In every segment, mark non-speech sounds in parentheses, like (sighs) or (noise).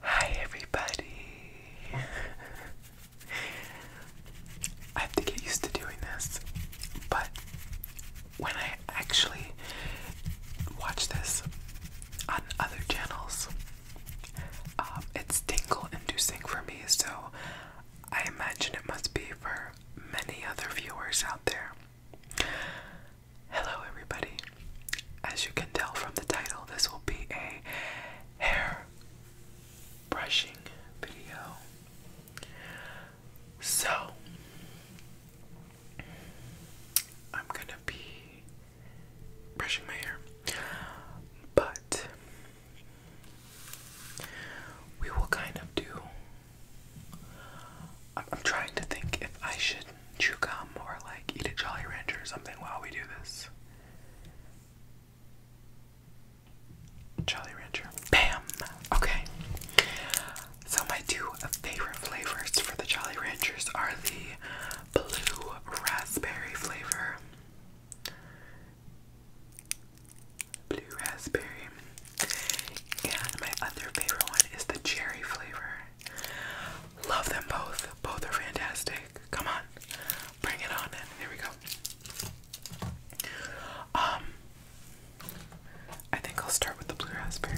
Hi everybody. I have to get used to doing this, but when I actually watch this on other channels, um, it's tingle inducing for me, so I imagine it must be for many other viewers out there. Hello, everybody. As you can tell from the title, this will be a hair brushing video. So, I'm gonna be brushing my hair, but we will kind of do. I'm, I'm trying to think if I should you come or like eat a Jolly Rancher or something while we do this. Jolly Rancher. Bam! Okay. So, my two favorite flavors for the Jolly Ranchers are the blue raspberry flavor. Blue raspberry. And my other favorite one is the cherry flavor. Love them both. Both are fantastic. Come on. Bring it on in. Here we go. Um I think I'll start with the blue raspberry.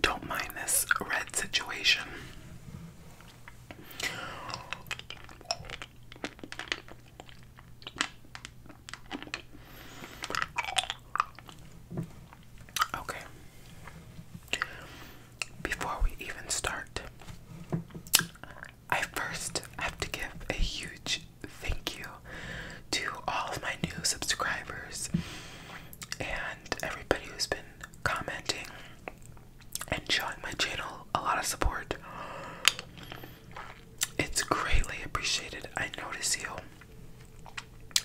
Don't mind this red situation. Okay. Before we even start, I first have to give a huge thank you to all of my new subscribers and everybody who's been commenting and showing my channel a lot of support. It's greatly appreciated. I notice you.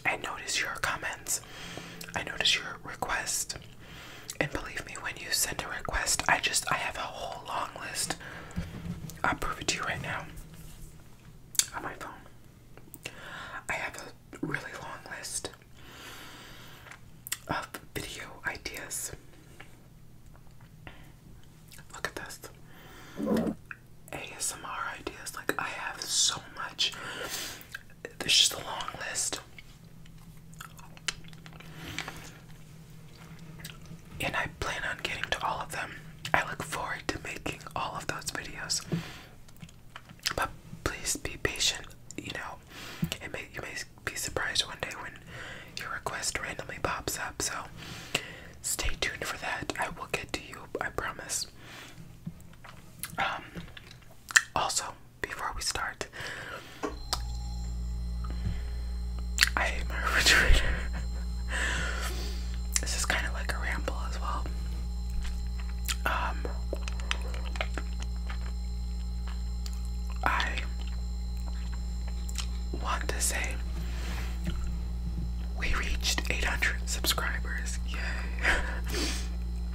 I notice your comments. I notice your request. And believe me, when you send a request, I just I have a whole long list. I'll prove it to you right now. On my phone. I have a really long list of video ideas. Look at this. ASMR ideas. Like, I have so much. This is a long list. And I plan on getting to all of them. I look forward to making all of those videos. But please be patient. You know, it may, you may be surprised one day when your request randomly pops up. So stay tuned for that. I will get to you, I promise. Um, also, before we start, I hate my (laughs) refrigerator. this is kind of like a ramble as well. Um, I want to say we reached 800 subscribers. Yay.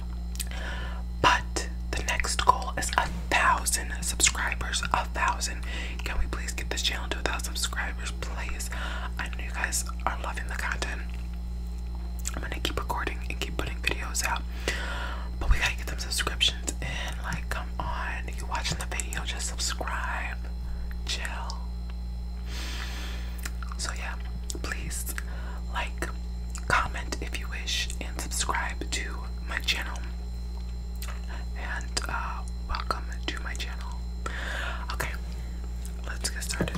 (laughs) but the next goal is a thousand subscribers. A thousand. Can we please get this channel to a thousand subscribers? Please. I know you guys are loving the content. I'm gonna keep recording and keep putting videos out. But we gotta get them subscriptions in. Like, come on. If You are watching the video, just subscribe. Chill. So, yeah, please like, comment if you wish, and subscribe to my channel. And uh, welcome to my channel. Okay, let's get started.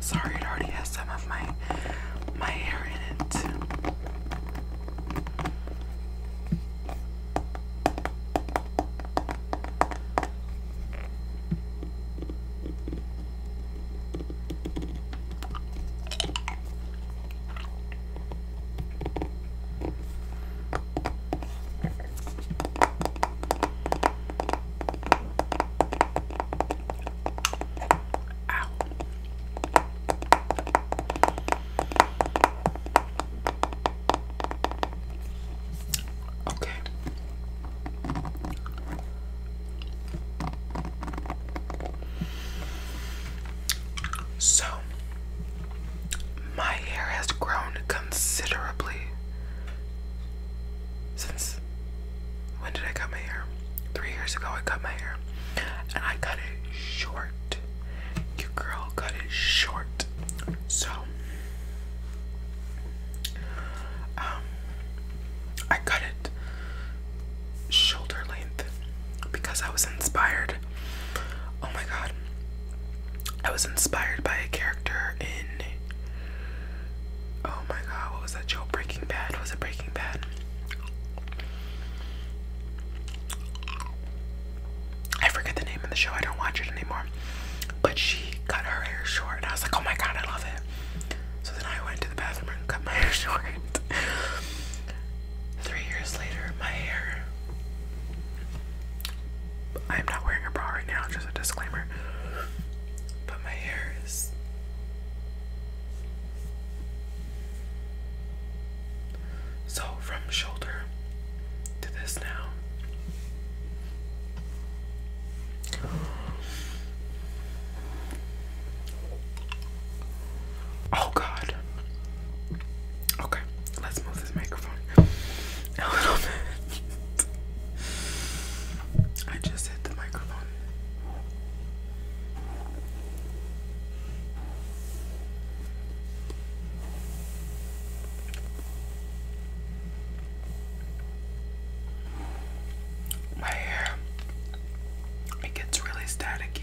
Sorry, it already has some of my my hair in it. Ow. Okay. So, my hair has grown considerably since when did I cut my hair? Three years ago, I cut my hair and I cut it short. Your girl cut it short. So, um, I cut it shoulder length because I was inspired. Oh my god. I was inspired by a character in Oh my god, what was that show? Breaking Bad. Was it Breaking Bad? I forget the name of the show. I don't watch it anymore. But she cut her hair short, and I was like, oh my god, I love it. So then I went to the bathroom and cut my (laughs) hair short. Three years later, my hair. I'm not wearing a bra right now, just a disclaimer. But my hair is so from shoulder to this now. Oh God. Okay, let's move this microphone a little bit. I just hit the microphone. My hair, it gets really staticky.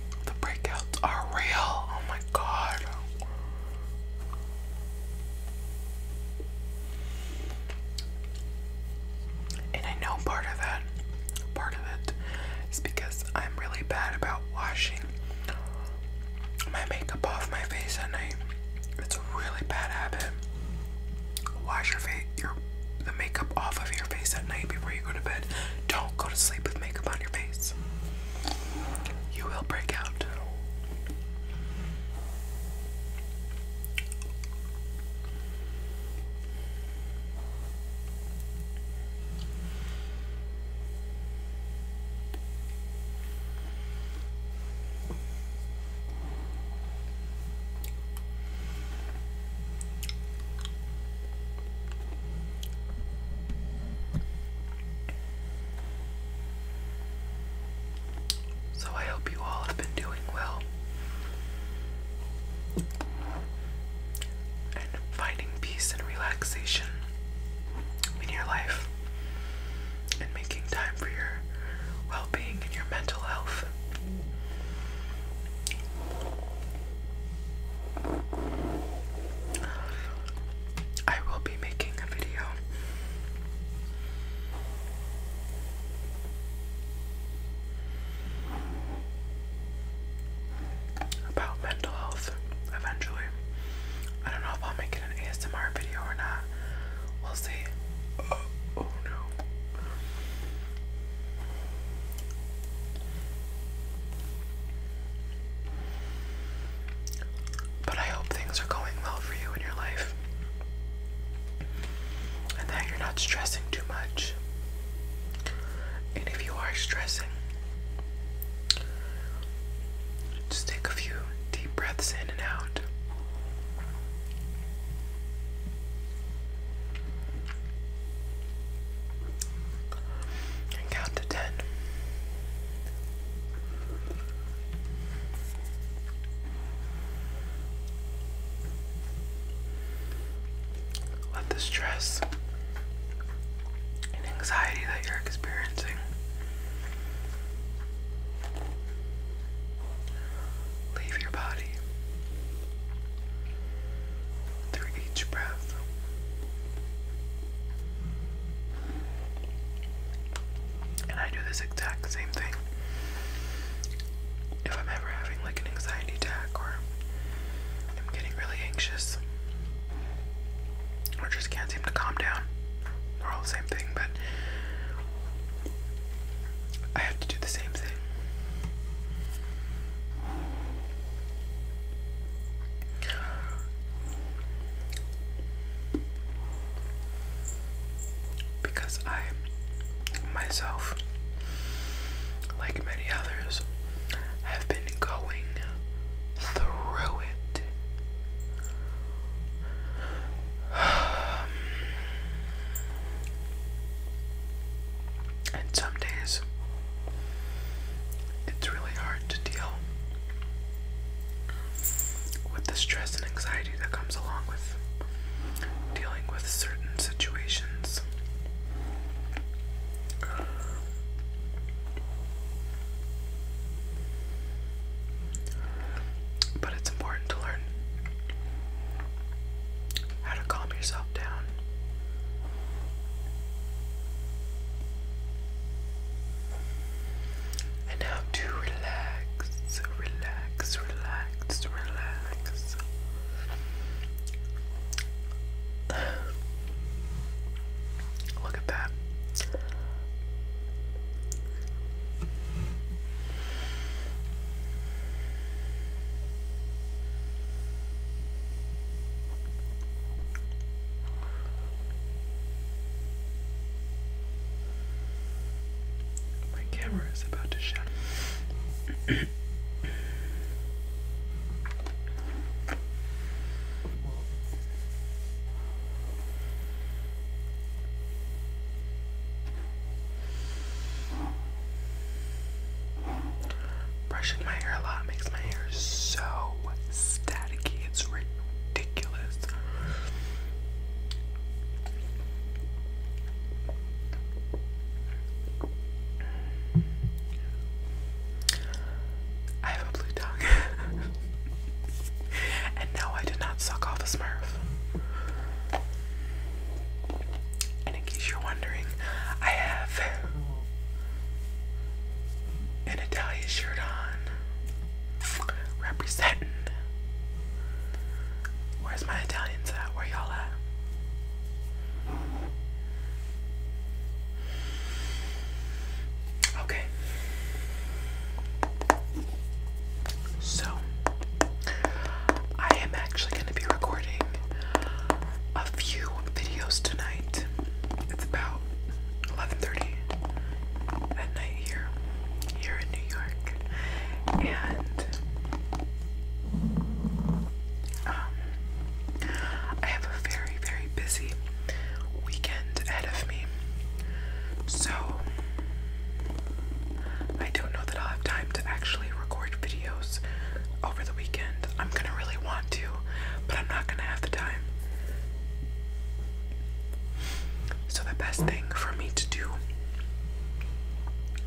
The breakouts are real. Oh my god. And I know part of that, part of it is because I'm really bad about washing my makeup off my face at night. It's a really bad habit. Wash your face, your the makeup off of your face at night before you go to bed. Don't go to sleep with makeup on your face you will break out. So I hope you all have been doing well and finding peace and relaxation in your life and making time for your well being and your mental health. I will be making a video about mental health eventually. I don't know if I'll make it an ASMR video or not. We'll see. Oh, oh no. But I hope things are going well for you in your life and that you're not stressing too much. And if you are stressing, just take a few deep breaths in and out and count to ten. Let the stress and anxiety that you're experiencing leave your body through each breath. And I do this exact same thing. If I'm ever having like an anxiety attack or I'm getting really anxious or just can't seem to calm down, they're all the same thing, but I have to do the same thing. Because I myself, like many others, have been going through it. (sighs) And some days it's really hard to deal with the stress and anxiety that comes along with dealing with certain situations. But it's important to learn how to calm yourself down and how to relax, relax, relax, relax. Look at that. My camera is about to shut. Brushing my hair a lot makes my hair so staticky. It's ridiculous. I have a blue tongue. (laughs) and no, I did not suck off a smurf in case you're wondering, I have an Italian shirt on. Representing. Where's my Italians at? Where y'all at? Okay. So, I am actually going to be recording a few videos tonight. It's about 11:30 at night here, here in New York, and um, I have a very, very busy weekend ahead of me. So I don't know that I'll have time to actually record videos over the weekend. I'm gonna really want to, but I'm not gonna have the time. So, the best thing for me to do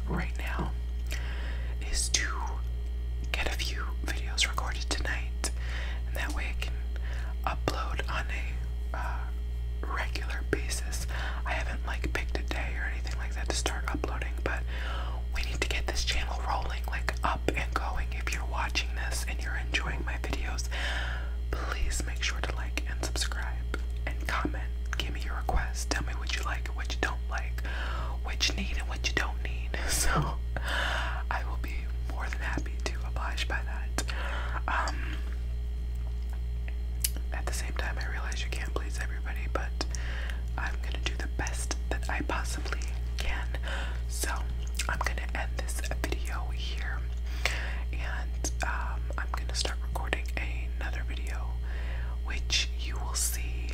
right now is to get a few videos recorded tonight, and that way I can upload on a uh, regular basis. I haven't like picked a day or anything like that to start uploading, but we need to get this channel rolling, like up and going. If you're watching this and you're enjoying my videos, please make sure to like and subscribe and comment. Give me your requests. Tell me what you like what you don't like, what you need and what you don't need. (laughs) So I will be more than happy to oblige by that. Um, at the same time, I realize you can't please everyone everybody, but I'm gonna do the best that I possibly can. So I'm gonna end this video here, and um, I'm gonna start recording another video, which you will see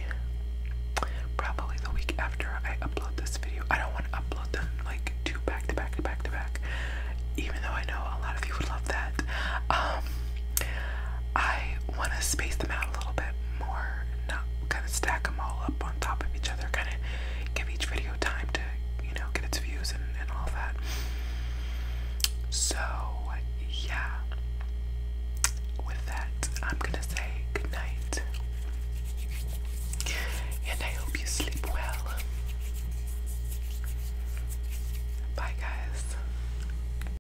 probably the week after I upload this video. I don't want to upload them like two back to back to back to back, even though I know a lot of you would love that. Um, I want to space them out a little bit more, not kind of stack them all up on top of each other, kind of give each video time to, you know, get its views and, and all that. So, yeah. With that, I'm gonna say good night. And I hope you sleep well. Bye, guys.